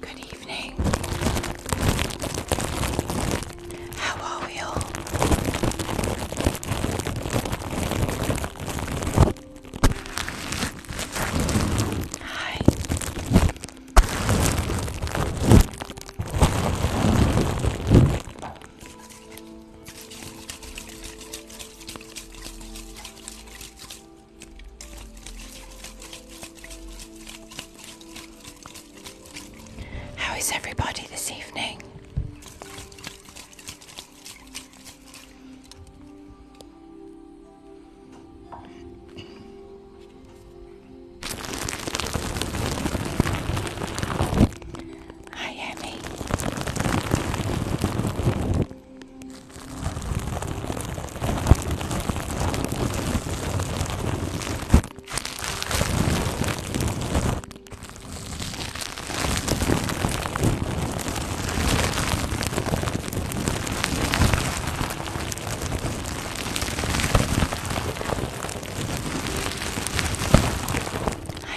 Good evening. How are we all? Hi. How is everybody this evening? Hi, Emmy. Hi,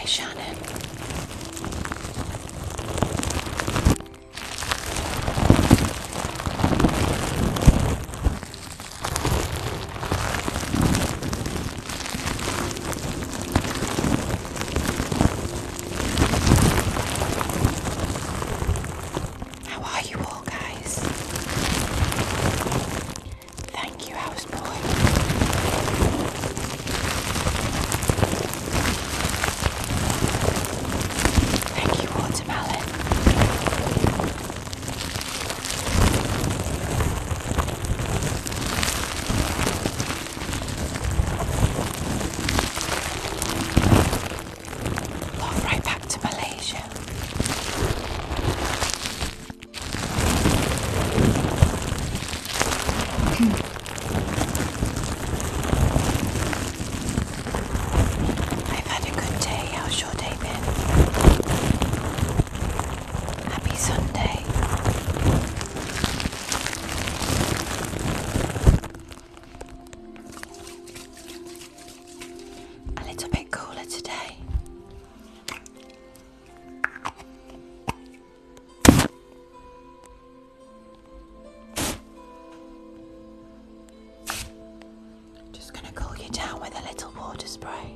Shannon. How are you all, guys? Thank you, houseboy. Thank you all smell right back to Malaysia. Hmm. I've had a good day. How's your day been? Happy Sunday. A little bit cooler today. Just gonna cool you down with a little water spray.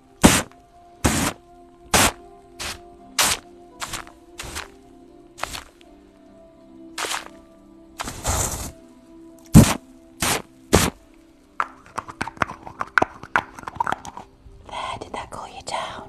There, did that call you down?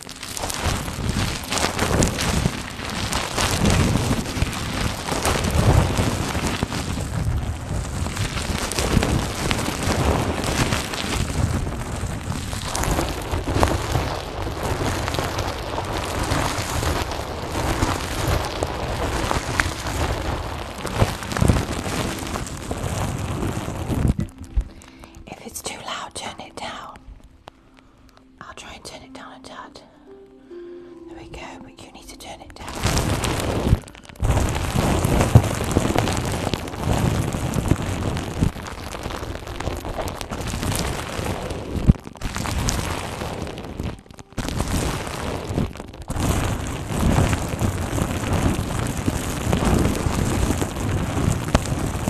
If it's too loud, turn it down. I'll try and turn it down a tad. There we go, but you need to turn it down.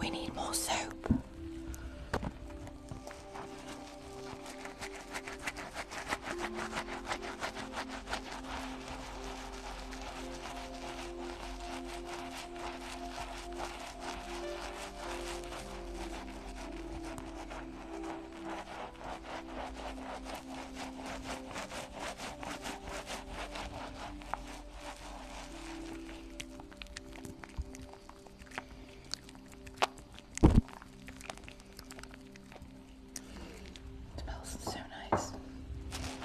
We need more soap. It smells so nice.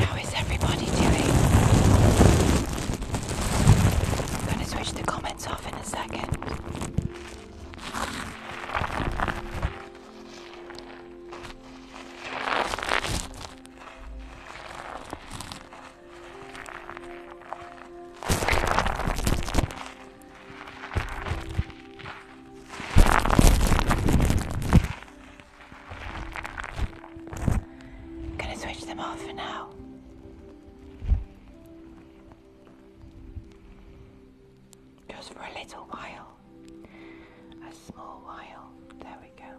How is everybody doing? I'm going to switch the comments off in a second. I'm gonna switch them off for now. Just for a little while. A small while. There we go.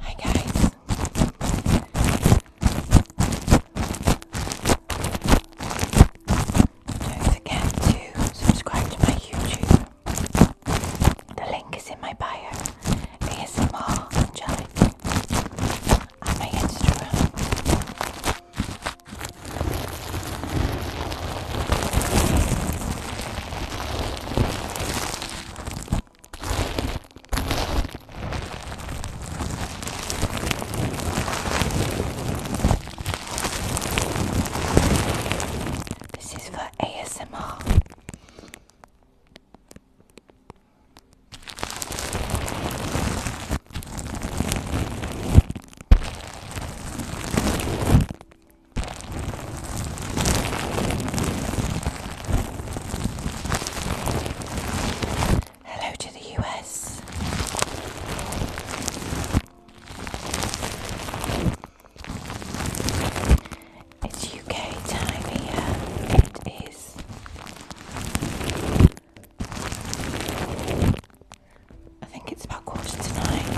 Hi guys. Don't forget to subscribe to my YouTube. The link is in my bio. ASMR and on my Instagram. This is for ASMR. Hello to the US. It's UK time here. It is I think it's about quarter to nine.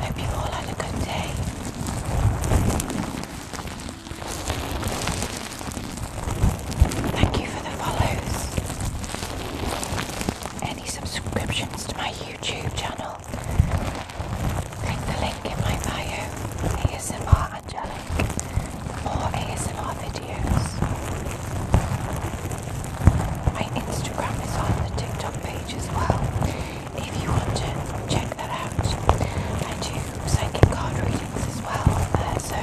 Hope you all had a good day. Thank you for the follows any subscriptions to my YouTube channel, click the link in my bio, ASMR Angelic, more ASMR videos. My Instagram is on the TikTok page as well, if you want to check that out. I do psychic card readings as well uh, so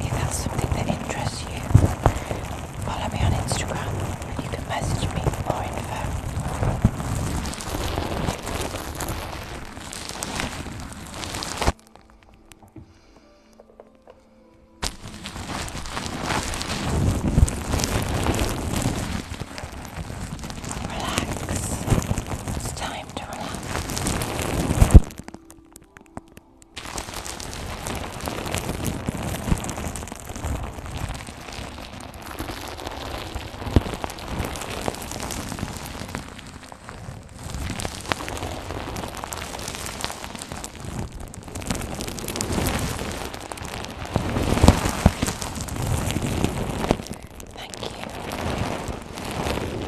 if that's something that interests you, Follow me on Instagram and you can message me for more info. Relax. It's time to relax. Thank you.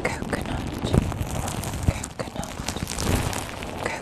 Coconut. Coconut. Coconut.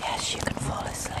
Yes, you can fall asleep.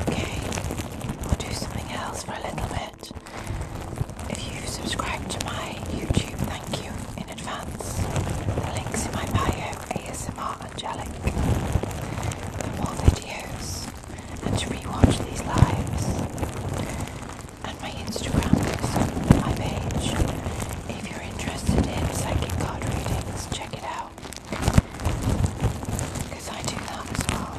Okay, we'll do something else for a little bit. If you subscribe to my YouTube, thank you in advance. The links in my bio, ASMR Angelic, for more videos and to rewatch these lives and my Instagram page. If you're interested in psychic card readings, check it out. Because I do that as well.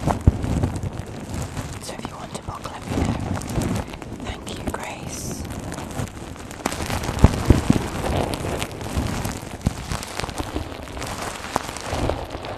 So if you want to book, let me Thank you, Grace.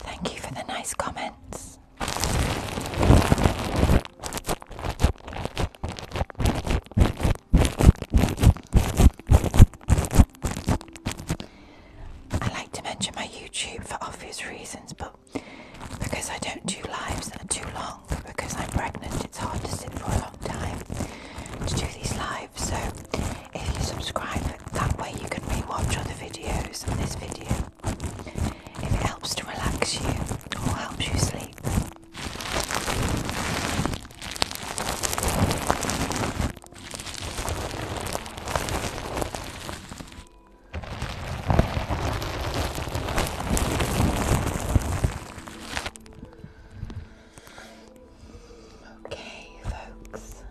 Thank you for the nice comments. I like to mention my YouTube for obvious reasons, but because I don't do lives that are too long, because I'm pregnant, it's hard to sit for a long time to do these lives. So if you subscribe, that way you can watch other videos and this video if it helps to relax you or helps you sleep. Okay, folks.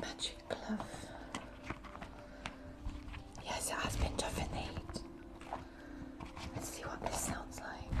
Magic glove. Yes, it has been tough in the heat. Let's see what this sounds like.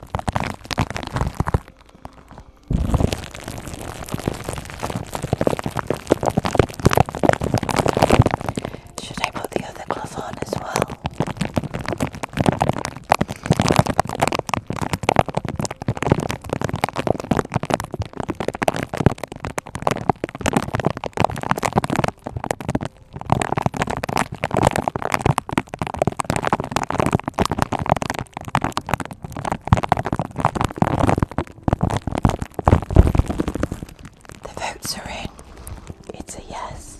Should I put the other glove on as well? The votes are in. It's a yes.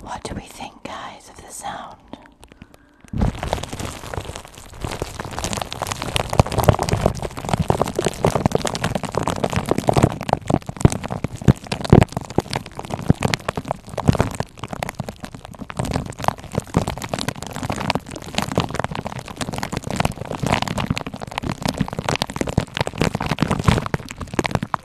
What do we think, guys, of the sound? I'm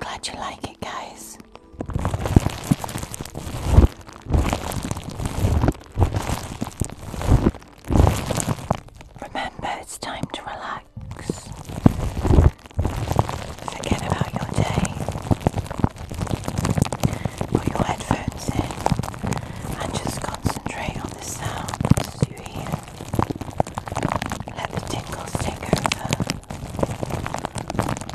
Glad you like it, guys. Remember, it's time to relax. Forget about your day. Put your headphones in and just concentrate on the sounds you hear. Let the tingles take over.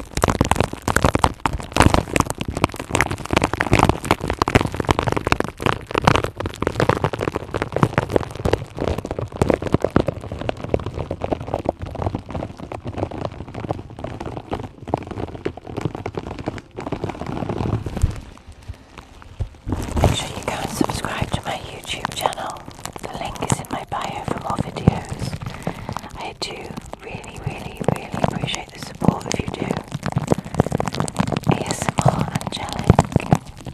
Make sure you go and subscribe to my YouTube channel. The link is in my bio for more videos. I do really, really, really appreciate the support if you do. ASMR Angelic.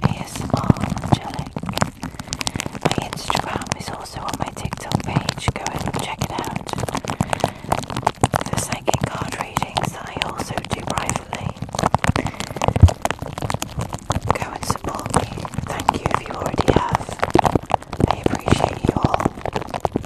ASMR Angelic. My Instagram is also on my TikTok page. Go and check it out. The psychic card readings that I also do privately. Go and support me. Thank you if you already have. I appreciate you all.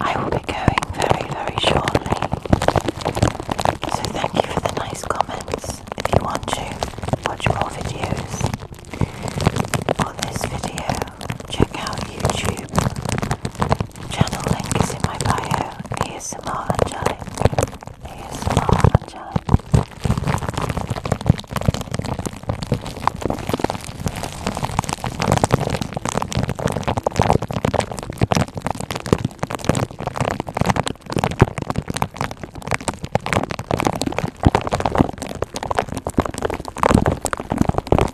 I will be going very, very shortly. So, thank you for the nice comments. If you want to watch more videos on this video, check out YouTube. Channel link is in my bio. ASMR Angelic. ASMR Angelic.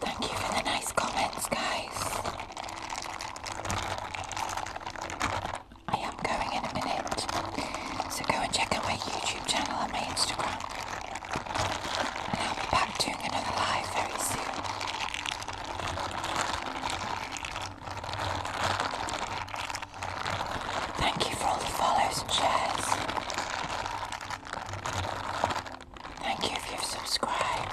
Thank you for the nice comments, guys. I am going in a minute, so go and check out my YouTube channel and my Instagram. I'll be back doing another live very soon. Thank you for all the follows and shares. Thank you if you've subscribed.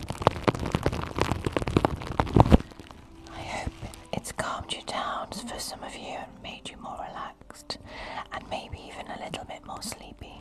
I hope it's calmed you down for some of you and made you more relaxed and maybe even a little bit more sleepy.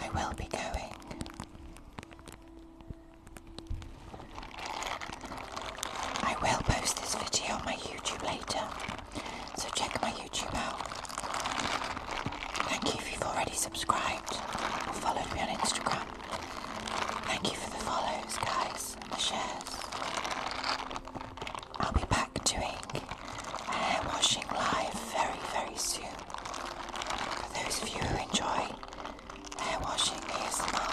I will be going. I will post this video on my YouTube later, so check my YouTube out. Thank you if you've already subscribed or followed me on Instagram. Thank you for the follows, guys, the shares. I'll be back doing Hair washing live very, very soon. For those of you who enjoy hair washing here's the ASMR.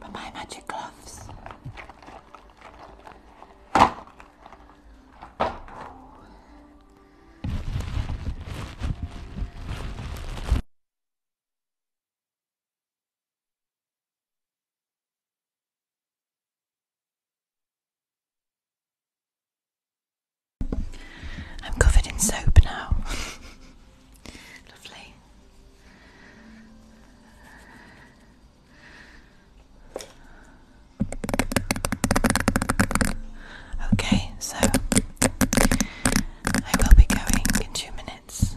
But my magic gloves. I'm covered in soap now. Lovely. Okay, so I will be going in two minutes.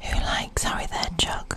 Who likes Harry there, Chuck?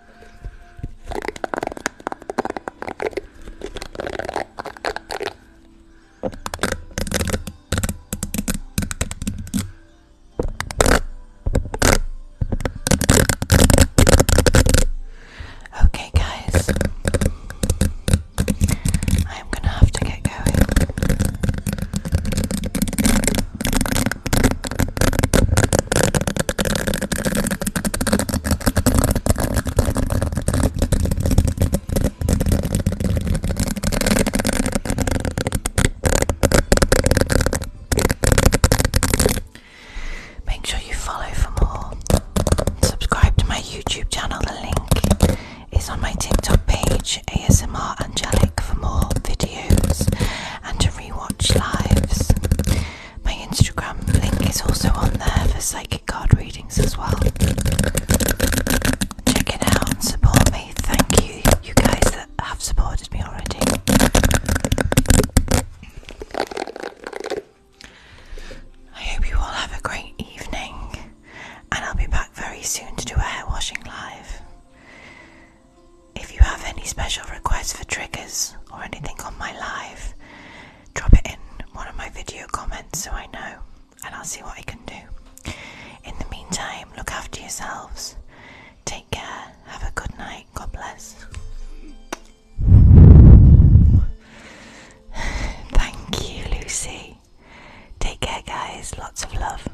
Okay, guys, I'm gonna have to get going. Make sure you follow for more. Subscribe to my YouTube channel, the link is on my TikTok page, ASMR Angelic, for more videos and to rewatch lives. My Instagram link is also on there for psychic card readings as well. Check it out and support me. Thank you, you guys that have supported me already. I hope you all have a great evening, and I'll be back very soon to do a hair washing live. If you have any special requests for triggers or anything on my live, drop it in one of my video comments so I know and I'll see what I can do. In the meantime, look after yourselves. Take care. Have a good night. God bless. Thank you, Lucy. Take care, guys. Lots of love.